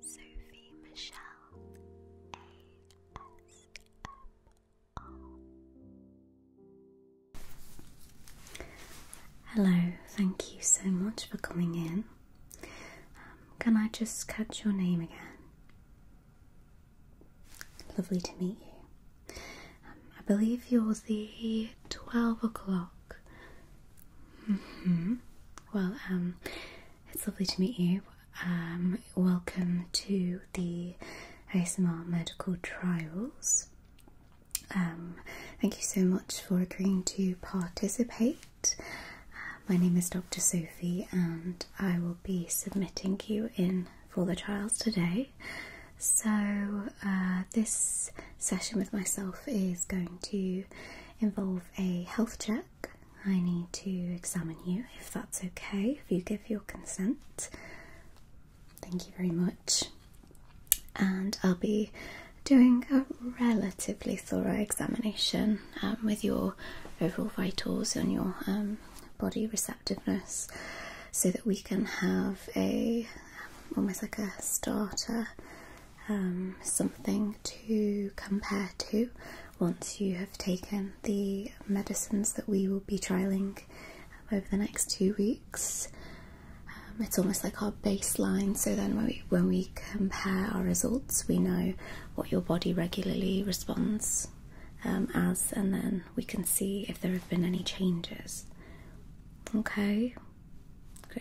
Sophie Michelle ASMR. Hello, thank you so much for coming in. Um, can I just catch your name again? Lovely to meet you. Um, I believe you're the 12 o'clock -hmm. Well, um, it's lovely to meet you. Um, welcome to the ASMR Medical Trials. Um, thank you so much for agreeing to participate. Uh, my name is Dr. Sophie, and I will be submitting you in for the trials today. So, uh, this session with myself is going to involve a health check I need to examine you if that's okay, if you give your consent. Thank you very much. And I'll be doing a relatively thorough examination um, with your overall vitals and your um, body receptiveness so that we can have a um, almost like a starter um, something to compare to once you have taken the medicines that we will be trialing over the next two weeks. Um, it's almost like our baseline, so then when we, when we compare our results, we know what your body regularly responds um, as, and then we can see if there have been any changes. Okay.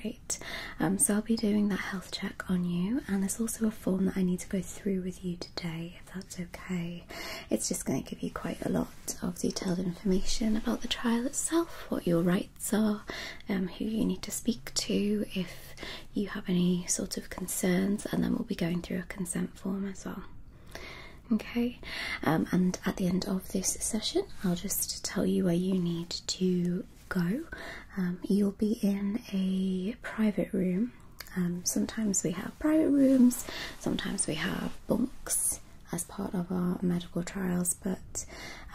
Great. Um, so I'll be doing that health check on you, and there's also a form that I need to go through with you today, if that's okay. It's just going to give you quite a lot of detailed information about the trial itself, what your rights are, um, who you need to speak to, if you have any sort of concerns, and then we'll be going through a consent form as well. Okay, um, and at the end of this session, I'll just tell you where you need to go. Um, you'll be in a private room. Um, sometimes we have private rooms, sometimes we have bunks as part of our medical trials, but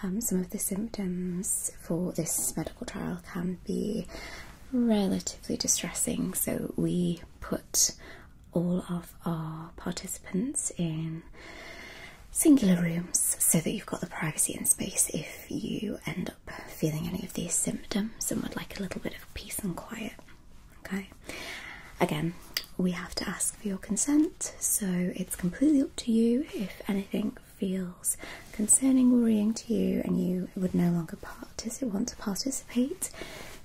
um, some of the symptoms for this medical trial can be relatively distressing, so we put all of our participants in singular rooms so that you've got the privacy and space if you end up feeling any of these symptoms and would like a little bit of peace and quiet, okay? Again, we have to ask for your consent, so it's completely up to you if anything feels concerning, worrying to you, and you would no longer participate, want to participate.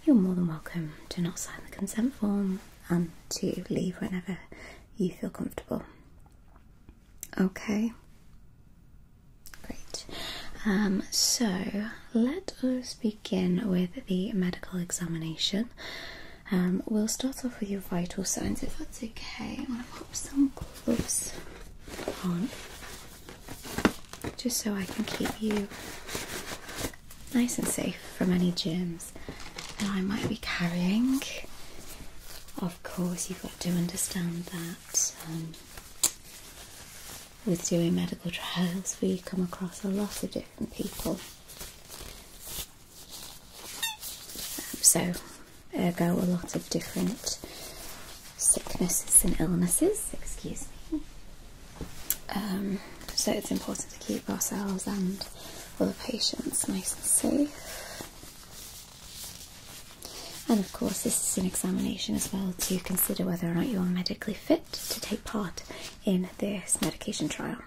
You're more than welcome to not sign the consent form and to leave whenever you feel comfortable. Okay. Great. Um, so let us begin with the medical examination. Um, we'll start off with your vital signs if that's okay. I'm going to pop some gloves on just so I can keep you nice and safe from any germs that I might be carrying. Of course, you've got to understand that with doing medical trials, we come across a lot of different people. Um, so, ergo, a lot of different sicknesses and illnesses. Excuse me. Um, so, it's important to keep ourselves and all the patients nice and safe. And of course, this is an examination as well to consider whether or not you are medically fit to take part in this medication trial.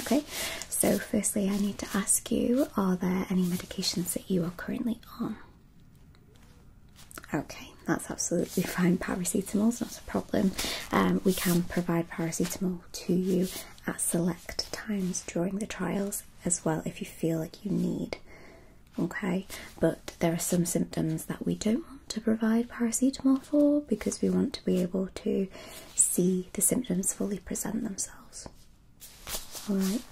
Okay, so firstly, I need to ask you are there any medications that you are currently on? Okay, that's absolutely fine. Paracetamol's not a problem. Um, we can provide paracetamol to you at select times during the trials as well if you feel like you need. Okay, but there are some symptoms that we don't want to provide paracetamol for because we want to be able to see the symptoms fully present themselves. Alright,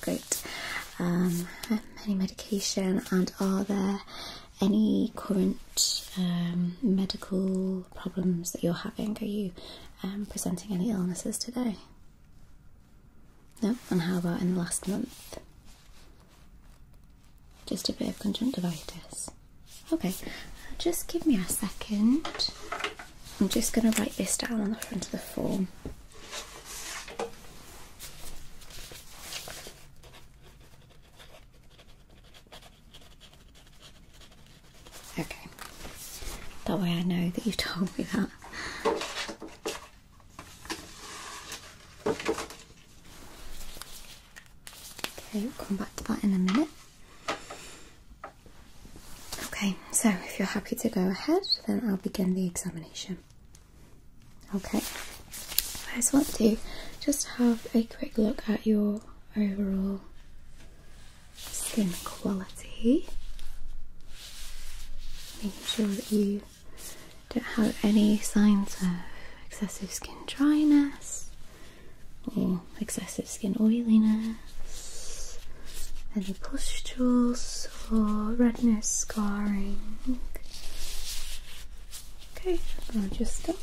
great. Um, any medication, and are there any current um, medical problems that you're having? Are you um, presenting any illnesses today? No, and how about in the last month? Just a bit of conjunctivitis. Okay, just give me a second. I'm just going to write this down on the front of the form. Okay. That way I know that you told me that. Okay, we'll come back to that in a minute. Okay, so if you're happy to go ahead, then I'll begin the examination. Okay, I just want to just have a quick look at your overall skin quality. Make sure that you don't have any signs of excessive skin dryness or excessive skin oiliness, any pustules or redness, scarring. Okay, I'll just stop.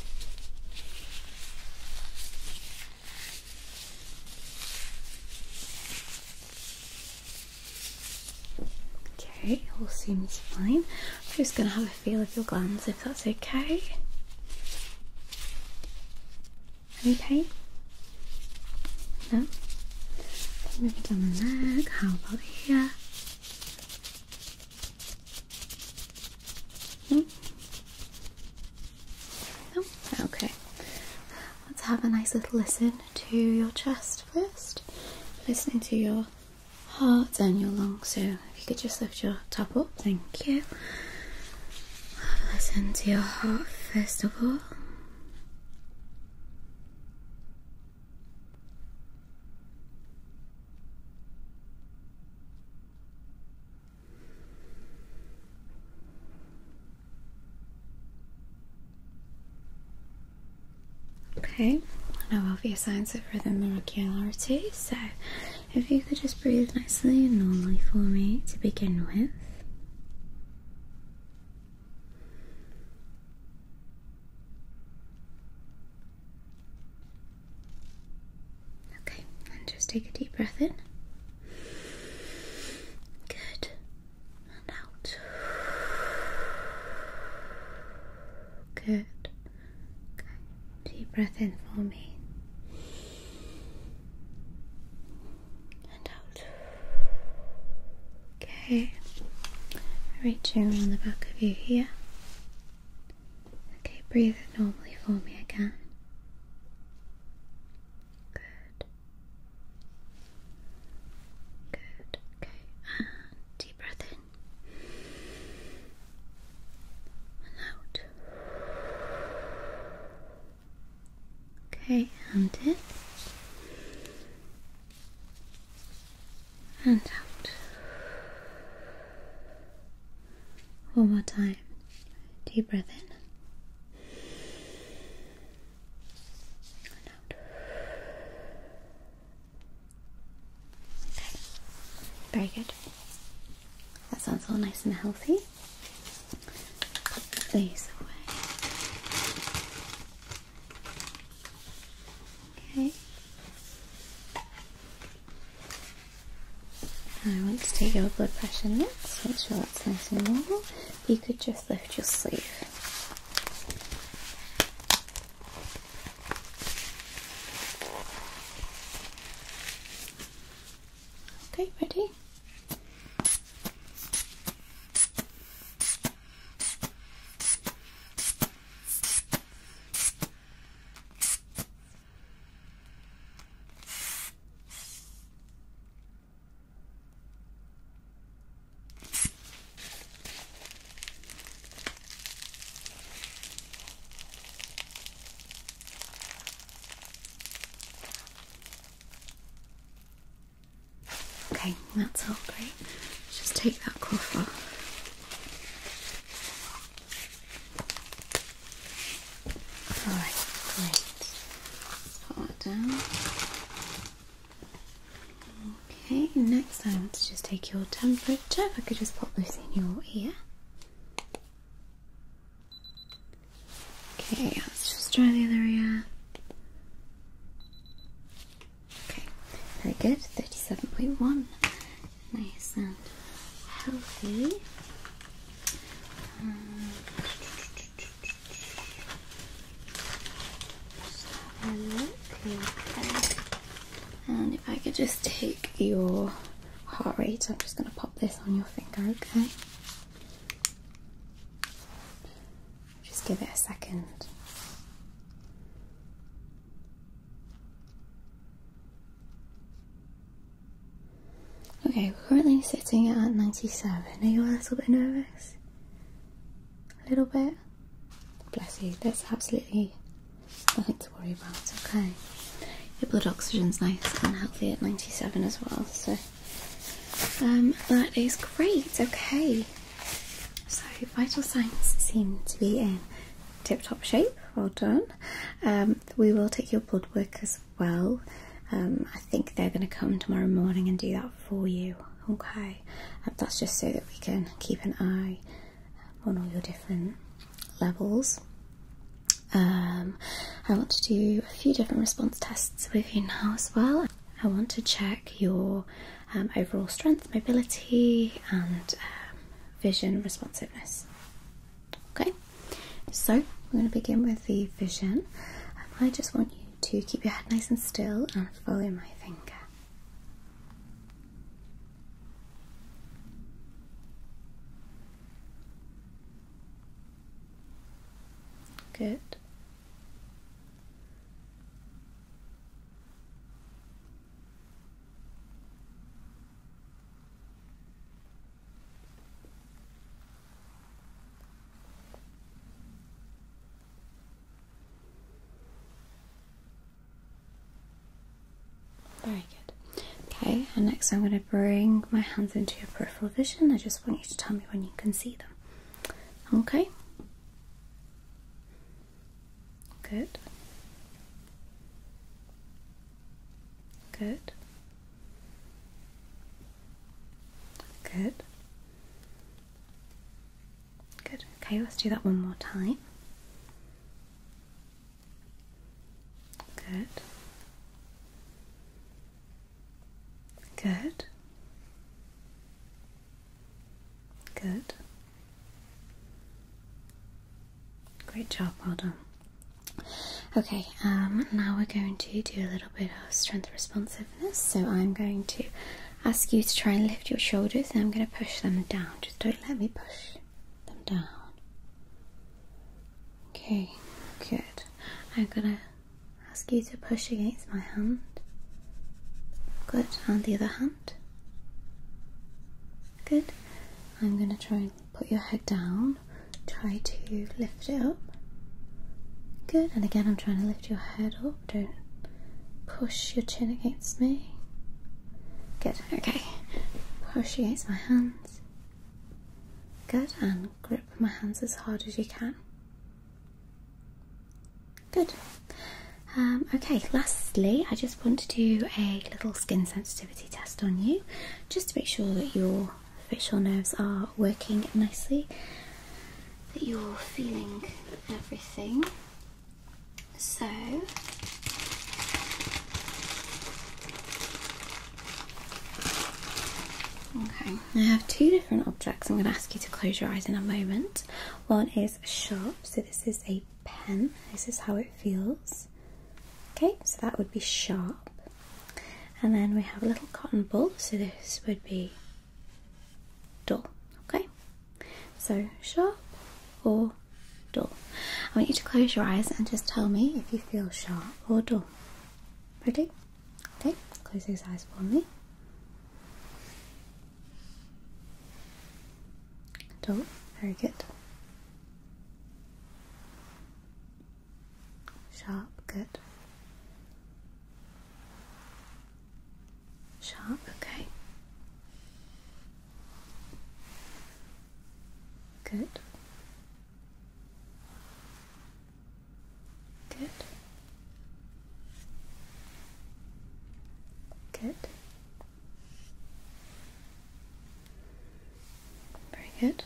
Okay, all seems fine. I'm just going to have a feel of your glands if that's okay. Any No? Moving down the neck, how about here? No? No? Okay let's have a nice little listen to your chest first. Listening to your heart and your lungs. So if you could just lift your top up, thank you. Have a listen to your heart first of all. Okay, now obvious signs of rhythm and regularity, so if you could just breathe nicely and normally for me to begin with. Okay, and just take a deep breath in. Good and out. Good. Deep breath in for me. And out. Okay. Reaching around the back of you here. Okay, breathe normally for me again. Good. Good. Okay. deep breath in. And out. Okay, in. And out. One more time. Deep breath in very good. That sounds all nice and healthy. Put Okay. I want to take your blood pressure next, make sure that's nice and normal you could just lift your sleeve. Okay, ready? Okay, that's all great. just take that cuff off. Alright, great. let that down. Okay, next I want to just take your temperature. I could just pop this in your ear. Okay, let's just try the other ear. Okay, very good. 37.1. Nice and healthy. Um, and if I could just take your heart rate, I'm just going to pop this on your finger, okay? Just give it a second. Okay, we're currently sitting at 97. Are you a little bit nervous? a little bit. Bless you, that's absolutely nothing to worry about, okay. Your blood oxygen's nice and healthy at 97 as well, so um, that is great, okay. So, vital signs seem to be in tip top shape, well done. Um, we will take your blood work as well. Um, I think they're going to come tomorrow morning and do that for you okay that's just so that we can keep an eye on all your different levels um, I want to do a few different response tests with you now as well I want to check your um, overall strength mobility and um, vision responsiveness okay so we're going to begin with the vision I just want you to keep your head nice and still Follow my finger. Good. Very good. Okay, and next I'm going to bring my hands into your peripheral vision. I just want you to tell me when you can see them. Okay? Good. Good. Good. Good. Okay, let's do that one more time. Good. Good. Good. Great job, well done. Okay, um, now we're going to do a little bit of strength responsiveness. So I'm going to ask you to try and lift your shoulders. I'm going to push them down. Just don't let me push them down. Okay, good. I'm going to ask you to push against my hand. Good. And the other hand. Good. I'm going to try and put your head down. Try to lift it up. Good. And again, I'm trying to lift your head up. Don't push your chin against me. Good, okay. Push against my hands. Good, and grip my hands as hard as you can. Good. Um, okay, lastly, I just want to do a little skin sensitivity test on you just to make sure that your facial nerves are working nicely that you're feeling everything. So, okay, I have two different objects. I'm going to ask you to close your eyes in a moment. One is sharp, so this is a pen, this is how it feels. Okay, so that would be sharp. And then we have a little cotton ball, so this would be Door. Okay, so sharp or door. I want you to close your eyes and just tell me if you feel sharp or door. Ready? Okay, close those eyes for me. Door. very good. Sharp, good. Sharp, okay. Good. Good. Good. Very good.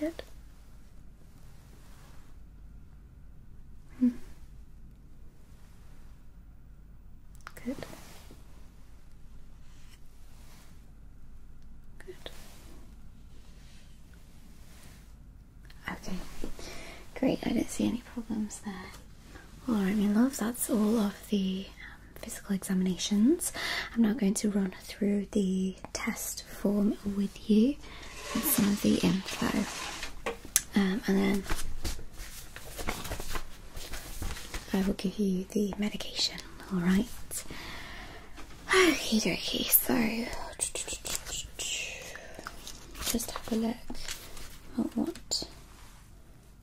Good. Good. Good. Okay. Great. I didn't see any problems there. All right, my love. That's all of the um, physical examinations. I'm now going to run through the test form with you some of the info. Um, and then I will give you the medication, alright? Okay, dokie, so just have a look at what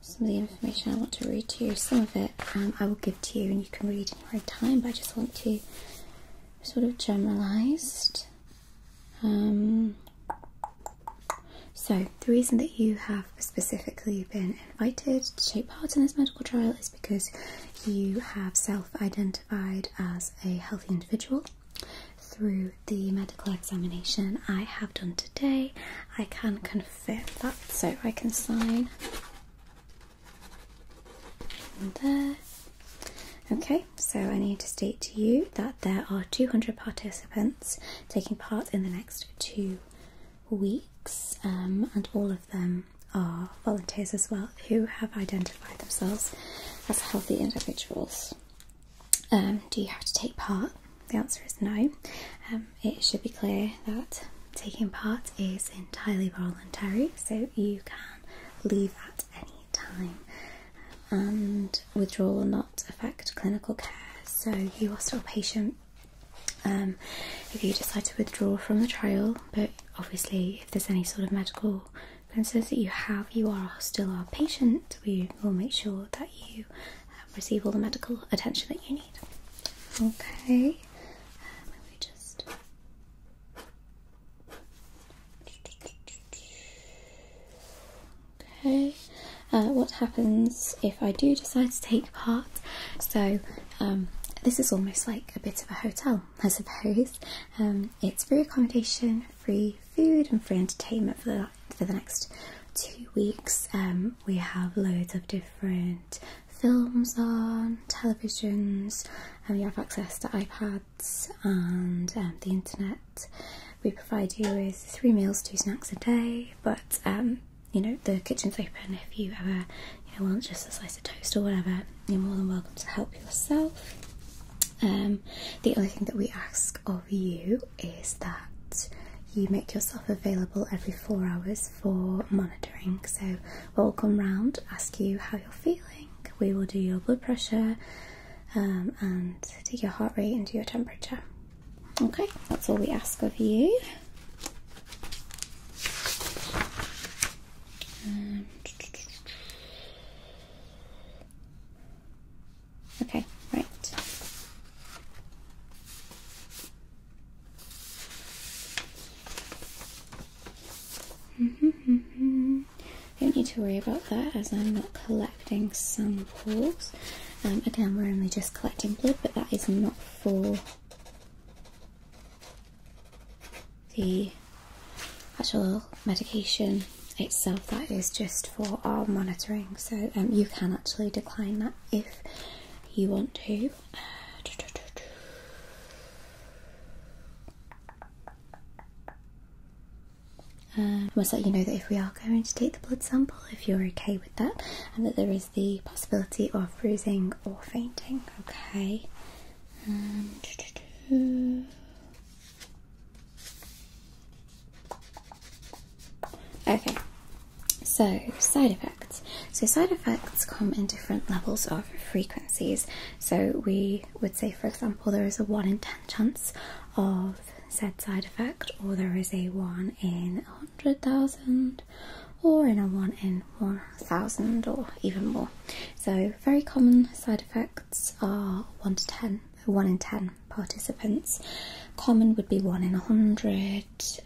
some of the information I want to read to you. Some of it um, I will give to you and you can read in your own time, but I just want to sort of generalised um, so, the reason that you have specifically been invited to take part in this medical trial is because you have self identified as a healthy individual through the medical examination I have done today. I can confirm that, so I can sign there. Okay, so I need to state to you that there are 200 participants taking part in the next two weeks, um, and all of them are volunteers as well who have identified themselves as healthy individuals. Um, do you have to take part? The answer is no. Um, it should be clear that taking part is entirely voluntary, so you can leave at any time and um, withdrawal will not affect clinical care. So you are still a patient um, if you decide to withdraw from the trial, but obviously, if there's any sort of medical concerns that you have, you are still our patient. We will make sure that you uh, receive all the medical attention that you need. Okay, let me just Okay, uh, what happens if I do decide to take part? So, um, this is almost like a bit of a hotel, I suppose. Um, it's free accommodation, free food, and free entertainment for the, for the next two weeks. Um, we have loads of different films on, televisions, and we have access to iPads and um, the internet. We provide you with three meals, two snacks a day, but um, you know, the kitchen's open if you ever want just a slice of toast or whatever, you're more than welcome to help yourself. Um, the only thing that we ask of you is that you make yourself available every four hours for monitoring. So we'll come round, ask you how you're feeling, we will do your blood pressure, um, and take your heart rate and do your temperature. Okay, that's all we ask of you. Um, okay, right. Mm -hmm, -hmm don't need to worry about that as I'm not collecting samples. Um, again, we're only just collecting blood, but that is not for the actual medication itself, that is just for our monitoring. So um, you can actually decline that if you want to. Uh, I um, must let you know that if we are going to take the blood sample, if you're okay with that, and that there is the possibility of bruising or fainting. Okay. Um, okay, so side effects. So, side effects come in different levels of frequencies. So, we would say, for example, there is a 1 in ten chance of said side effect, or there is a 1 in a 100,000, or in a 1 in 1,000, or even more. So, very common side effects are 1 to ten, one in 10 participants. Common would be 1 in a 100,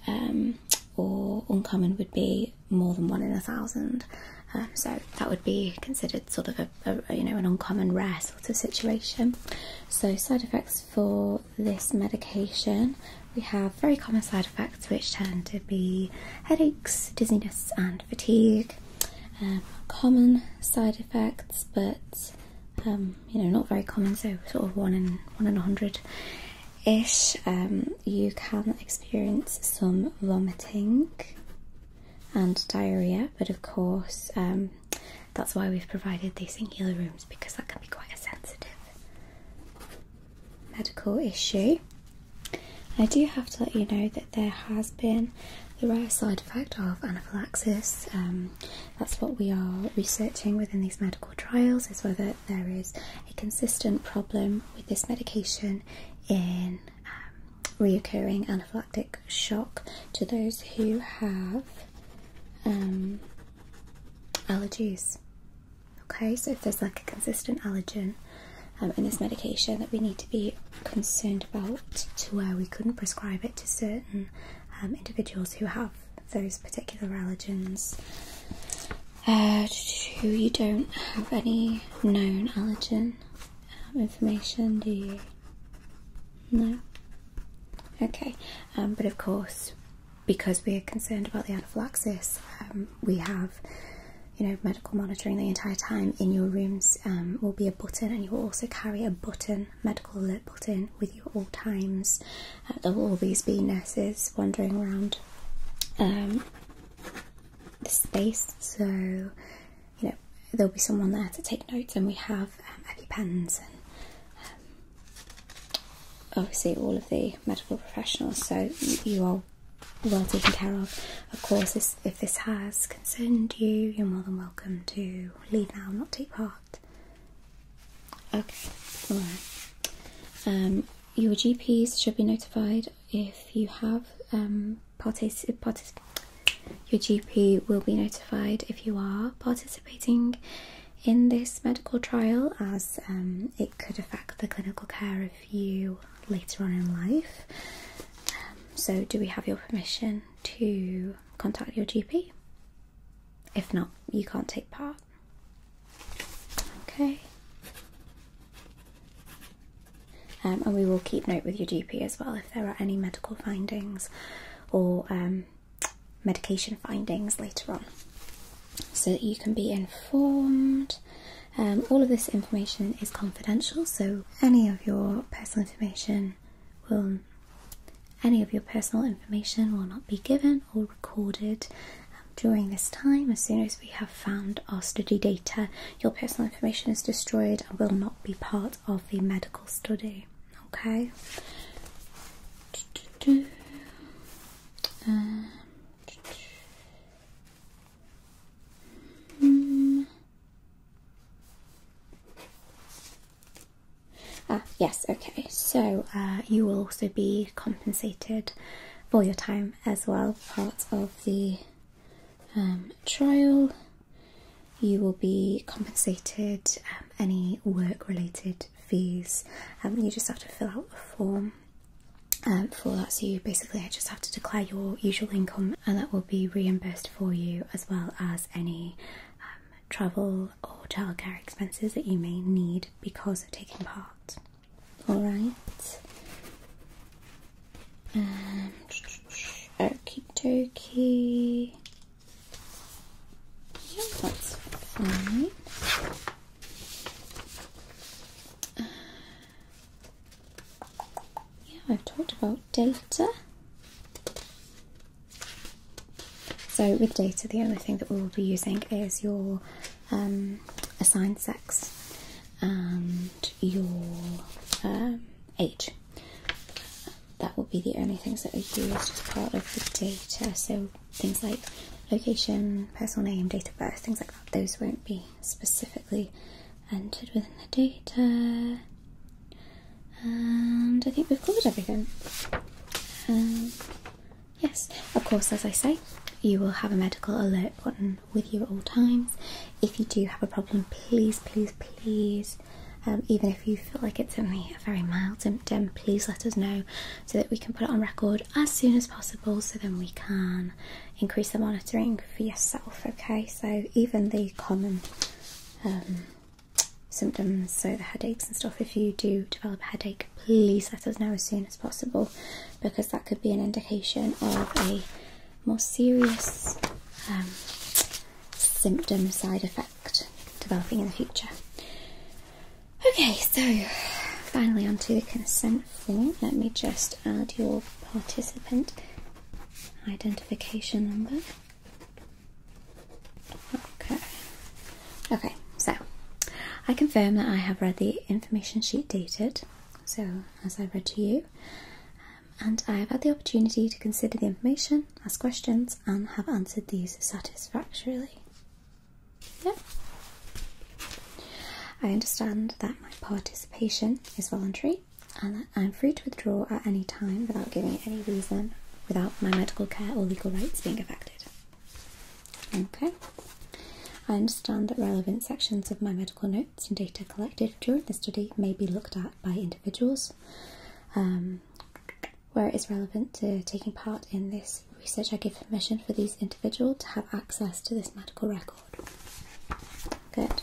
um, or uncommon would be more than 1 in a 1,000. Um, so, that would be considered sort of a you know an uncommon rare sort of situation. So side effects for this medication we have very common side effects which tend to be headaches, dizziness, and fatigue. Um, common side effects, but um, you know not very common. So sort of one in one in a hundred ish. Um, you can experience some vomiting and diarrhea, but of course, um, that's why we've provided these singular rooms because that can be quite a sensitive medical issue. I do have to let you know that there has been the rare side effect of anaphylaxis. Um, that's what we are researching within these medical trials is whether there is a consistent problem with this medication in um, reoccurring anaphylactic shock to those who have um, allergies. Okay, so if there's like a consistent allergen um, in this medication that we need to be concerned about, to where we couldn't prescribe it to certain um, individuals who have those particular allergens. who uh, you don't have any known allergen information, do you? No? Okay, um, but of course, because we are concerned about the anaphylaxis, um, we have, you know, medical monitoring the entire time in your rooms um, will be a button and you will also carry a button, medical alert button, with you all times. Uh, there will always be nurses wandering around the space, so you know there'll be someone there to take notes and we have um, pens, and um, obviously all of the medical professionals so you are well taken care of. Of course if this has concerned you you're more than welcome to leave now not take part. Okay, um, your GPs should be notified if you have um, partic your GP will be notified if you are participating in this medical trial, as um, it could affect the clinical care of you later on in life. Um, so, do we have your permission to contact your GP? If not, you can't take part. Okay. Um, and we will keep note with your GP as well if there are any medical findings or um, medication findings later on so that you can be informed. Um, all of this information is confidential, so any of your personal information will any of your personal information will not be given or recorded during this time. As soon as we have found our study data, your personal information is destroyed and will not be part of the medical study. Okay. Uh, ah, yes, okay. So uh, you will also be compensated for your time as well, part of the um, trial. You will be compensated um, any work related fees. Um, you just have to fill out a form um, for that. So, you basically just have to declare your usual income, and that will be reimbursed for you as well as any um, travel or childcare expenses that you may need because of taking part. Alright. Um, Okie dokie. Yeah, that's fine. Uh, yeah, I've talked about data. So with data, the only thing that we will be using is your um, assigned sex and your um, age that will be the only things that are used as part of the data. So things like location, personal name, date of birth, things like that, those won't be specifically entered within the data. And I think we've covered everything. Um, yes, of course, as I say, you will have a medical alert button with you at all times. If you do have a problem, please, please, please um, even if you feel like it's only a very mild symptom, please let us know so that we can put it on record as soon as possible so then we can increase the monitoring for yourself. Okay, so even the common um, symptoms, so the headaches and stuff, if you do develop a headache, please let us know as soon as possible because that could be an indication of a more serious um, symptom side effect developing in the future. Okay, so finally onto the consent form. Let me just add your participant identification number. Okay. Okay, so I confirm that I have read the information sheet dated, so as I read to you, and I have had the opportunity to consider the information, ask questions, and have answered these satisfactorily. Yeah. I understand that my participation is voluntary and I'm free to withdraw at any time without giving any reason, without my medical care or legal rights being affected. Okay. I understand that relevant sections of my medical notes and data collected during the study may be looked at by individuals, um, where it is relevant to taking part in this research, I give permission for these individuals to have access to this medical record. Good.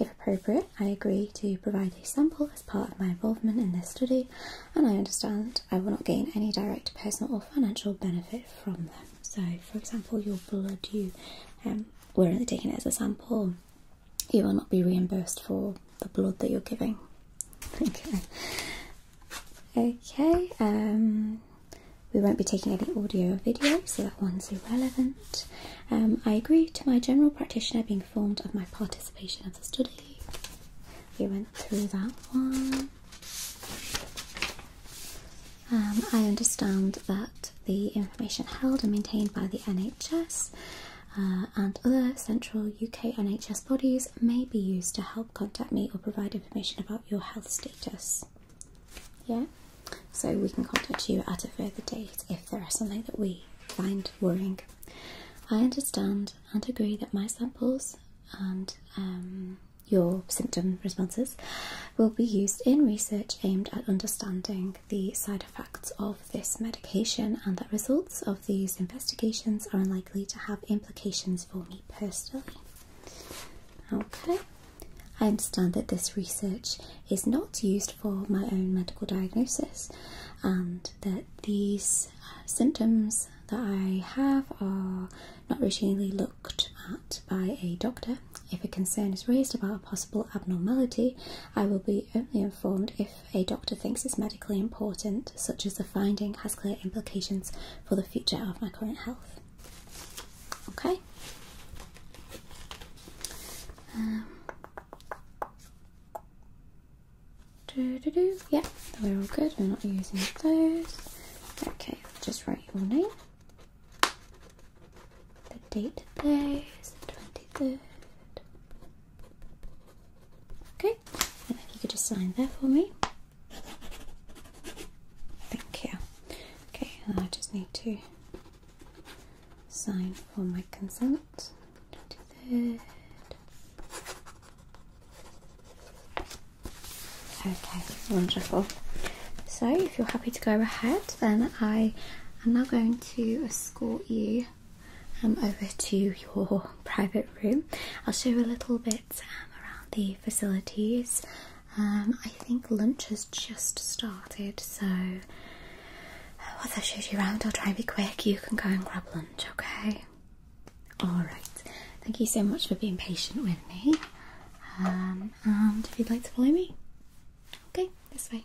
If appropriate, I agree to provide a sample as part of my involvement in this study, and I understand I will not gain any direct personal or financial benefit from them. So, for example, your blood, you um, we're only taking it as a sample, you will not be reimbursed for the blood that you're giving. okay. Okay. Um, we won't be taking any audio or video, so that one's irrelevant. Um, I agree to my general practitioner being informed of my participation of the study. We went through that one. Um, I understand that the information held and maintained by the NHS uh, and other central UK NHS bodies may be used to help contact me or provide information about your health status. Yeah, so we can contact you at a further date if there is something that we find worrying. I understand and agree that my samples and um, your symptom responses will be used in research aimed at understanding the side side of this medication and that results of these investigations are unlikely to have implications for me personally. Okay, I understand that this research is not used for my own medical diagnosis and that these uh, symptoms that I have are not routinely looked at by a doctor. If a concern is raised about a possible abnormality, I will be only if a doctor thinks it's medically important, such as the finding has clear implications for the future of my current health. Okay. Um, doo -doo Yeah, we're all good. We're not using those. Okay, just write your name, the date today is the twenty third. Okay, and if you could just sign there for me. Thank you. Okay, and I just need to sign for my consent. 23rd. Okay, wonderful. So, if you're happy to go ahead, then I am now going to escort you um, over to your private room. I'll show you a little bit um, around the facilities. Um, I think lunch has just started, so once uh, I show you around, I'll try and be quick. You can go and grab lunch, okay? Alright, thank you so much for being patient with me. Um, and if you'd like to follow me, okay, this way.